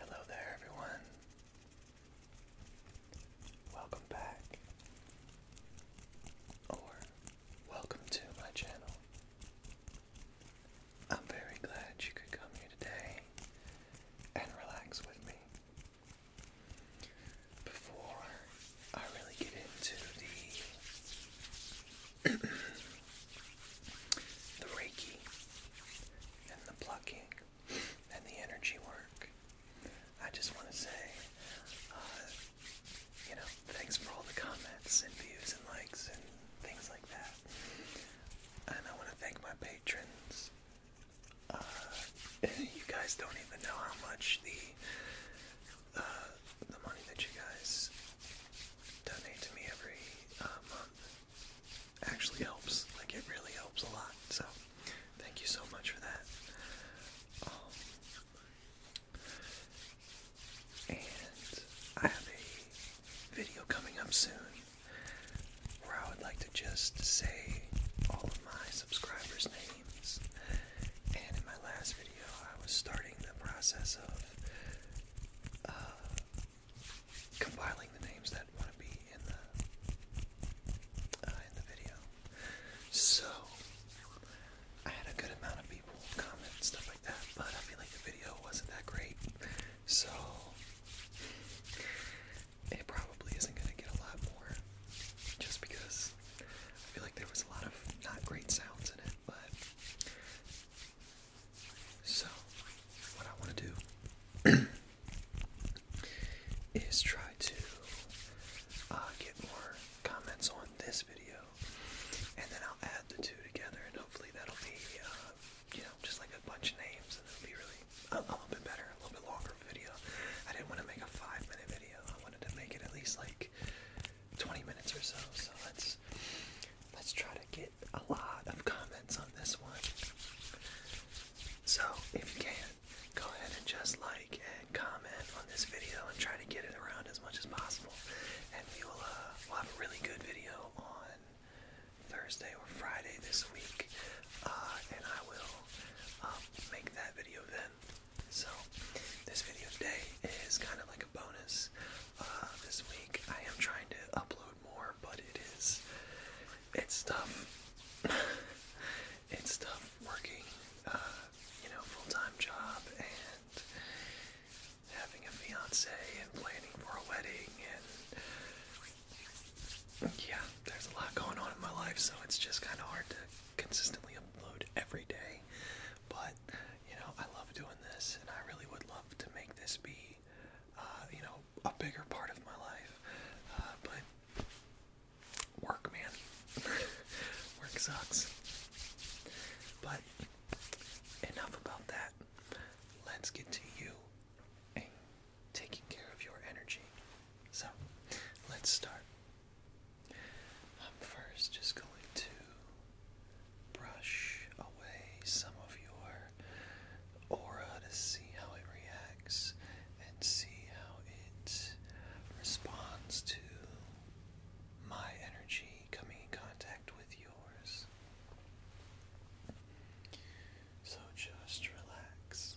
Hello there, everyone. Welcome back, or welcome to my channel. I'm very glad you could come here today and relax with me. Before I really get into the the Reiki and the plucking and the energy work. I just want to say, uh, you know, thanks for all the comments and views and likes and things like that. And I want to thank my patrons. Uh, you guys don't even know how much the the money that you guys donate to me every uh, month actually helps. Like it really helps a lot. So thank you so much for that. Um, and I have a video coming up soon where I would like to just say all of my subscribers' names. And in my last video, I was starting the process of uh, compiling the names that want to be in the uh, in the video. So I had a good amount of people comment and stuff like that, but I feel like the video wasn't that great, so it probably isn't going to get a lot more just because I feel like there was a lot of not great sounds in it, but so what I want to do is try to uh, get more comments on this video, and then I'll add the two together, and hopefully that'll be uh, you know just like a bunch of names, and it'll be really a, a little bit better, a little bit longer video. I didn't want to make a five minute video. I wanted to make it at least like 20 minutes or so. So let's let's try to get a lot of comments on this one. So if you can, go ahead and just like and comment on this video and try to get it around as much as possible. And we will uh, we'll have a really good video on Thursday or Friday this week, uh, and I will um, make that video then. So, this video today is kind of like a bonus. Uh, this week I am trying to upload more, but it is, it's tough. it's tough working, uh, you know, full-time job and having a fiance and planning for a wedding and yeah, there's a lot going on in my life, so it's just kind of hard to consistently upload every day, but you know, I love doing this and I really would love to make this be, uh, you know, a bigger part of my life. Uh, but work, man. work sucks. But enough about that. Let's get to you taking care of your energy. So, let's start I'm first just going to brush away some of your aura to see how it reacts and see how it responds to my energy coming in contact with yours. So just relax.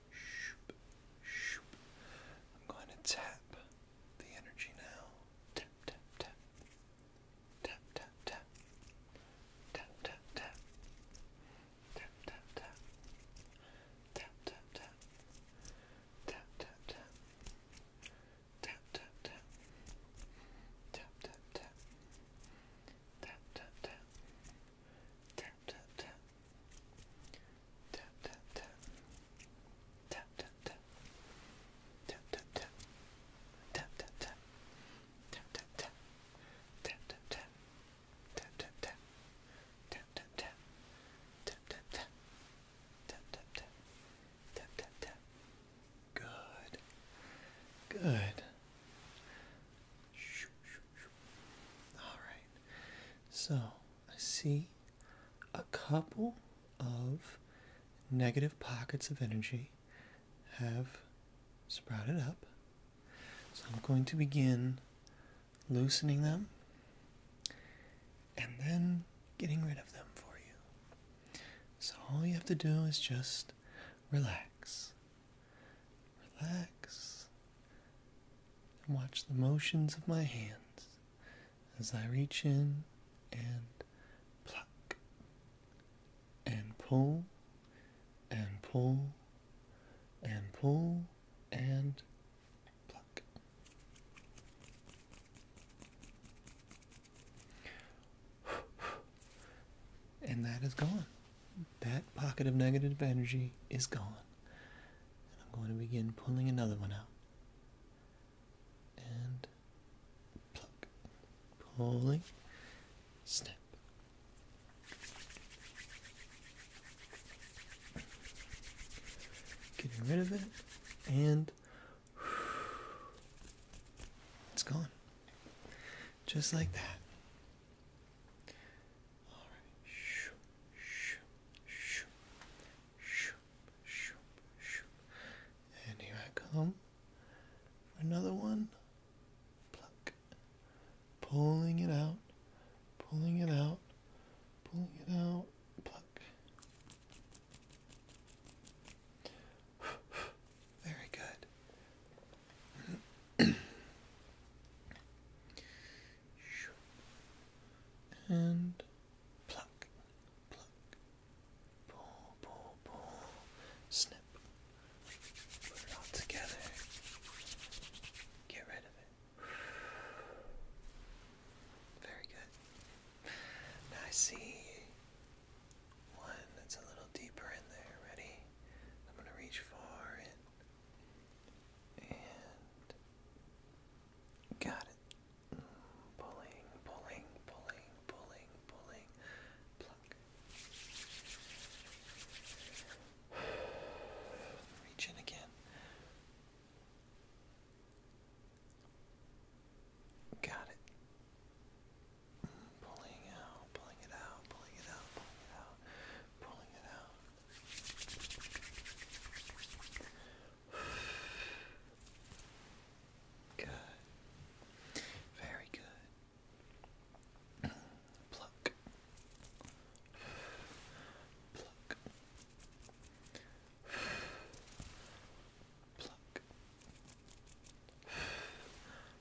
Shoop, shoop. I'm going to tap the energy now. Tap, tap, tap. Tap, tap, tap. Tap, tap, tap. Tap, tap, tap. Tap, tap, tap. Tap, tap, tap. Tap, tap, tap. Tap, tap, tap. Tap, tap, tap. Tap tap tap. Tap tap tap. Tap tap tap. Tap tap tap. Tap tap tap. Tap tap tap. Tap tap tap. Tap tap tap. Tap tap tap. Tap tap tap. Good. Good. All right. So I see a couple of negative pockets of energy have sprouted up. So I'm going to begin loosening them and then getting rid of them for you. So all you have to do is just relax. Relax and watch the motions of my hands as I reach in and pluck and pull and pull and pull and pluck. And that is gone that pocket of negative energy is gone. And I'm going to begin pulling another one out. And pluck. Pulling. Snap. Getting rid of it. And it's gone. Just like that. All right. Shoop, shoop, shoop, shoop, shoop, shoop. And here I come another one. Pluck. Pulling it out, pulling it out, pulling it out. Pluck. Very good and pluck, pluck, pull, pull, pull, snip, put it all together, get rid of it. Very good. I see one that's a little deeper in there. Ready? I'm going to reach far in got it. Pulling, pulling, pulling, pulling, pulling. Pluck. Reach in again. Got it. Pulling out, pulling it out, pulling it out, pulling it out pulling it out. Good. Very good. Pluck. Pluck. Pluck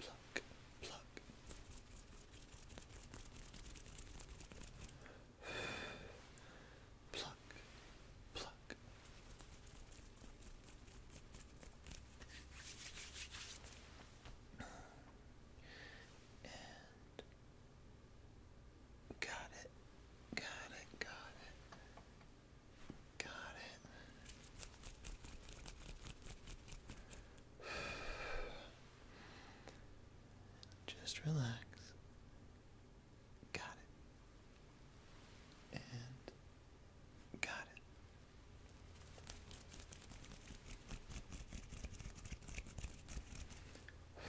Pluck, pluck. Pluck, pluck. And got it, got it, got it. Got it. Just relax. Got it. And got it.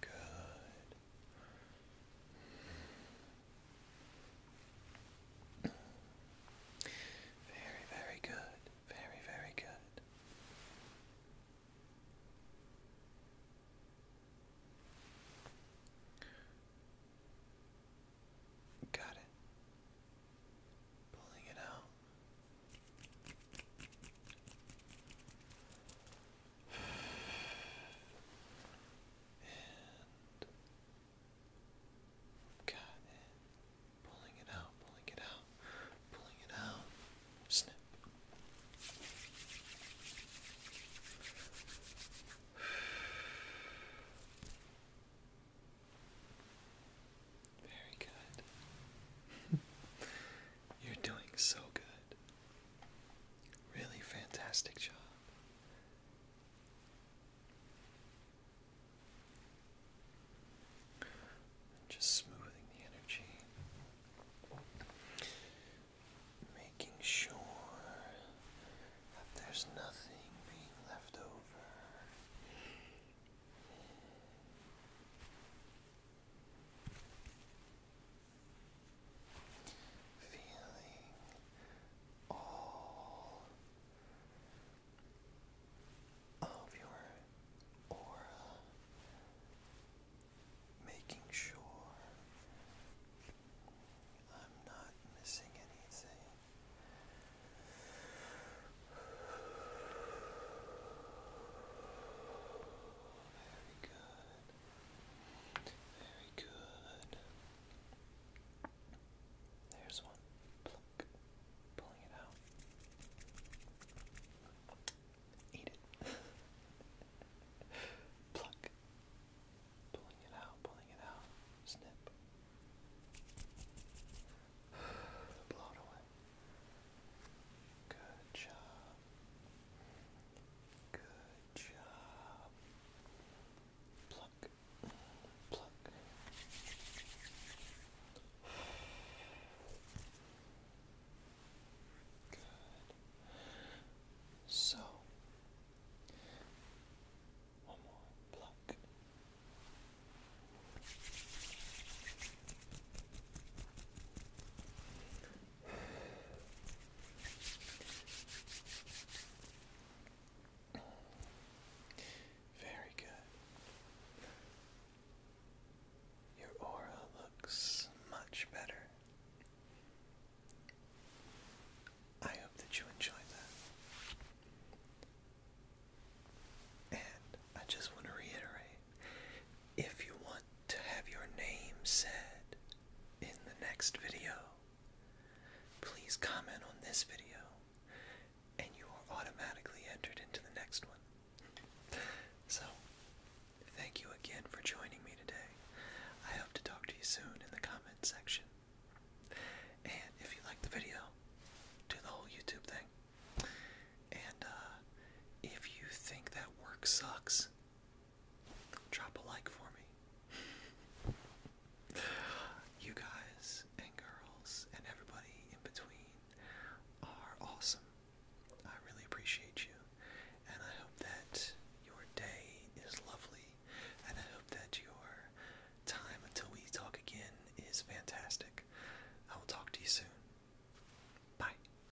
Good. Very, very good. Very, very good. Got it. Pulling it out. Got it. Pulling it out, pulling it out, pulling it out. Snip. Very good. You're doing so good. Really fantastic job. Just smoothing the energy, making sure that there's nothing being left over. Feeling all of your aura, making sure I'm not missing anything. Very good. Very good. There's one. Pluck. Pulling it out. Eat it. Pluck. Pulling it out, pulling it out. Snip. Blow it away. Good job. Good job. Pluck, pluck. Good. So, one more pluck. Very good. Your aura looks much better. I hope that you enjoyed that. And I just want to reiterate if you want to have your name said in the next video. Please comment on this video, and you are automatically entered into the next one. So, thank you again for joining me today. I hope to talk to you soon in the comment section. And if you like the video, do the whole YouTube thing. And uh, if you think that work sucks, drop a like for me. you guys and girls and everybody in between are awesome. I really appreciate you, and I hope that your day is lovely, and I hope that your time until we talk again is fantastic. I will talk to you soon. Bye.